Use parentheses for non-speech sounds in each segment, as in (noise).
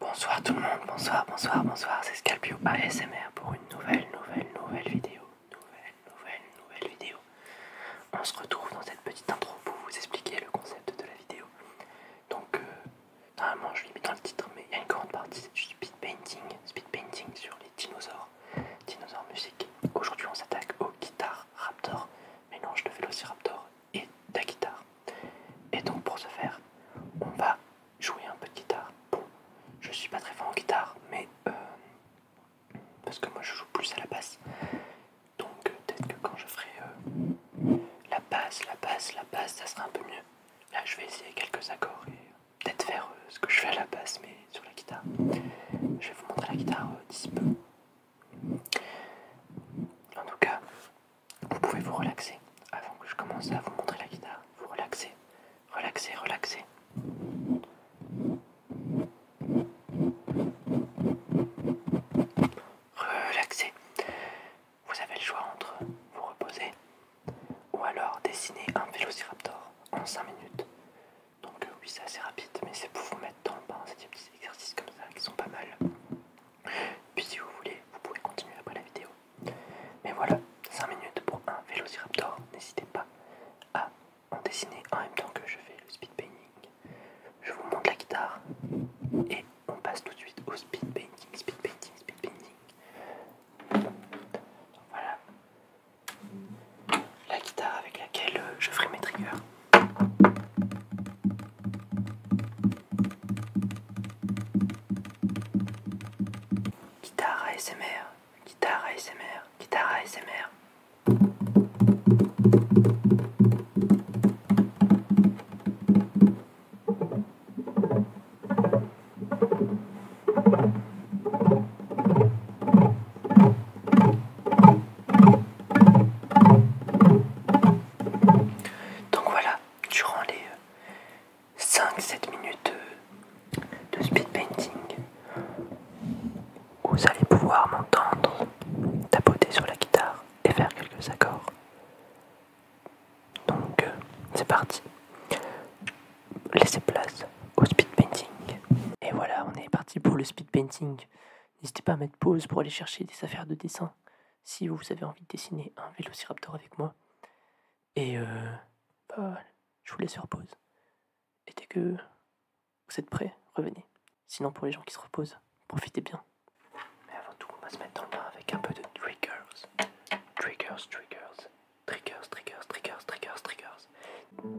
Bonsoir tout le monde, bonsoir, bonsoir, bonsoir, c'est Scalpio ASMR pour une nouvelle, nouvelle, nouvelle vidéo, nouvelle, nouvelle, nouvelle vidéo. On se retrouve dans cette petite intro pour vous expliquer le concept de la vidéo. Donc, euh, normalement je l'ai mis dans le titre, mais il y a une grande partie du speed painting, speed painting sur les dinosaures, dinosaures musique. Aujourd'hui on s'attaque aux guitares Raptor, mélange de Velociraptor et de la guitare. Et donc pour ce faire, on va jouer un peu de guitare. Bon, je suis pas très fort en guitare, mais euh, parce que moi je joue plus à la basse. Donc euh, peut-être que quand je ferai euh, la basse, la basse, la basse, ça sera un peu mieux. Là je vais essayer quelques accords et peut-être faire ce que je fais à la basse, mais sur la guitare. Je vais vous montrer la guitare d'ici peu. En tout cas, vous pouvez vous relaxer. Avant que je commence à vous montrer la guitare, vous relaxez, relaxez, relaxez. Relaxez. Vous avez le choix entre vous reposer ou alors dessiner un vélociraptor en 5 minutes. Donc euh, oui, c'est assez rapide, mais c'est pour vous mettre dans le bain. C'est des petits exercices comme ça qui sont pas mal. Puis si vous voulez, vous pouvez continuer après la vidéo. Mais voilà, 5 minutes pour un Vélociraptor. N'hésitez pas à en dessiner en même temps que je fais le speed painting. Je vous montre la guitare et on passe tout de suite au speed painting, speed painting, speed painting. Voilà la guitare avec laquelle je ferai mes triggers. Guitare ASMR, guitare ASMR, guitare ASMR. Donc voilà, durant les 5-7 euh, minutes euh, de, speed painting, vous allez pouvoir m'entendre tapoter sur la guitare et faire quelques accords. Donc euh, c'est parti. Laissez place au speed painting. Et voilà, on est parti pour le speed painting. N'hésitez pas à mettre pause pour aller chercher des affaires de dessin si vous avez envie de dessiner un vélociraptor avec moi. Et euh, bah, je vous laisse faire pause. Et dès que vous êtes prêts, revenez. Sinon, pour les gens qui se reposent, profitez bien. Mais avant tout, on va se mettre dans le bain avec un peu de triggers. Triggers, triggers. Triggers, triggers, triggers, triggers, triggers.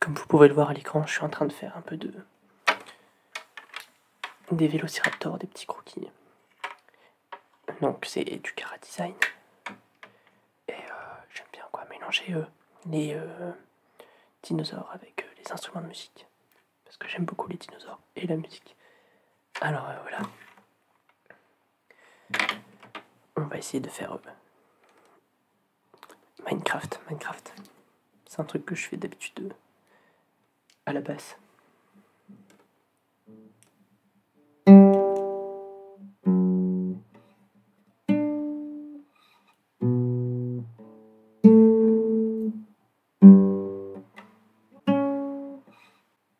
Comme vous pouvez le voir à l'écran, je suis en train de faire un peu de des vélociraptors, des petits croquis. Donc c'est du Kara Design. Et euh, j'aime bien quoi mélanger euh, les euh, dinosaures avec les instruments de musique. Parce que j'aime beaucoup les dinosaures et la musique. Alors voilà. On va essayer de faire euh, Minecraft, Minecraft. C'est un truc que je fais d'habitude euh, à la base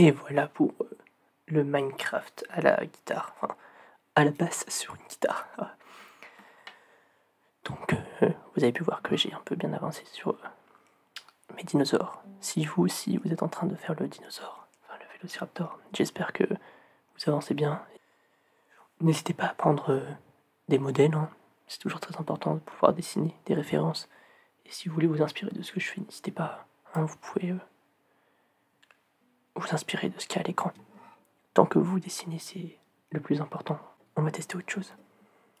Et voilà pour euh, le Minecraft à la guitare, enfin, à la basse sur une guitare. (laughs) Donc, euh, vous avez pu voir que j'ai un peu bien avancé sur euh, mes dinosaures. Si vous aussi vous êtes en train de faire le dinosaure, enfin le vélociraptor, j'espère que vous avancez bien. N'hésitez pas à prendre euh, des modèles, hein. c'est toujours très important de pouvoir dessiner des références. Et si vous voulez vous inspirer de ce que je fais, n'hésitez pas, hein, vous pouvez euh, vous inspirer de ce qu'il y a à l'écran. Tant que vous dessinez, c'est le plus important. On va tester autre chose.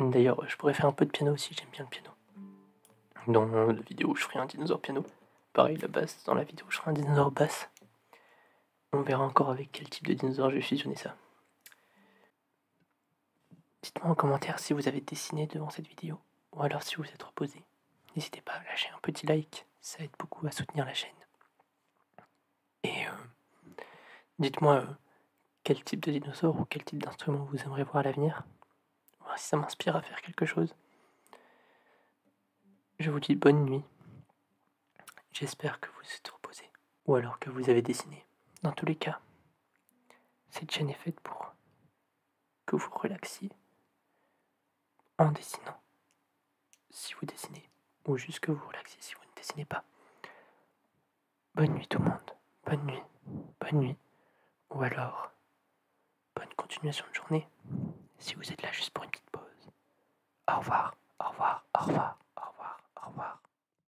D'ailleurs, je pourrais faire un peu de piano aussi, j'aime bien le piano. Dans la vidéo, je ferai un dinosaure piano. Pareil, la basse, dans la vidéo, je ferai un dinosaure basse. On verra encore avec quel type de dinosaure je vais fusionner ça. Dites-moi en commentaire si vous avez dessiné devant cette vidéo ou alors si vous êtes reposé. N'hésitez pas à lâcher un petit like, ça aide beaucoup à soutenir la chaîne. Et euh, dites-moi euh, quel type de dinosaure ou quel type d'instrument vous aimeriez voir à l'avenir. Voir si ça m'inspire à faire quelque chose. Je vous dis bonne nuit. J'espère que vous êtes reposé ou alors que vous avez dessiné. Dans tous les cas, cette chaîne est faite pour que vous relaxiez en dessinant. Si vous dessinez, ou juste que vous relaxiez si vous ne dessinez pas. Bonne nuit tout le monde. Bonne nuit. Bonne nuit. Ou alors, bonne continuation de journée. Si vous êtes là juste pour une petite pause. Au revoir. Au revoir. Au revoir. Au revoir. Au revoir.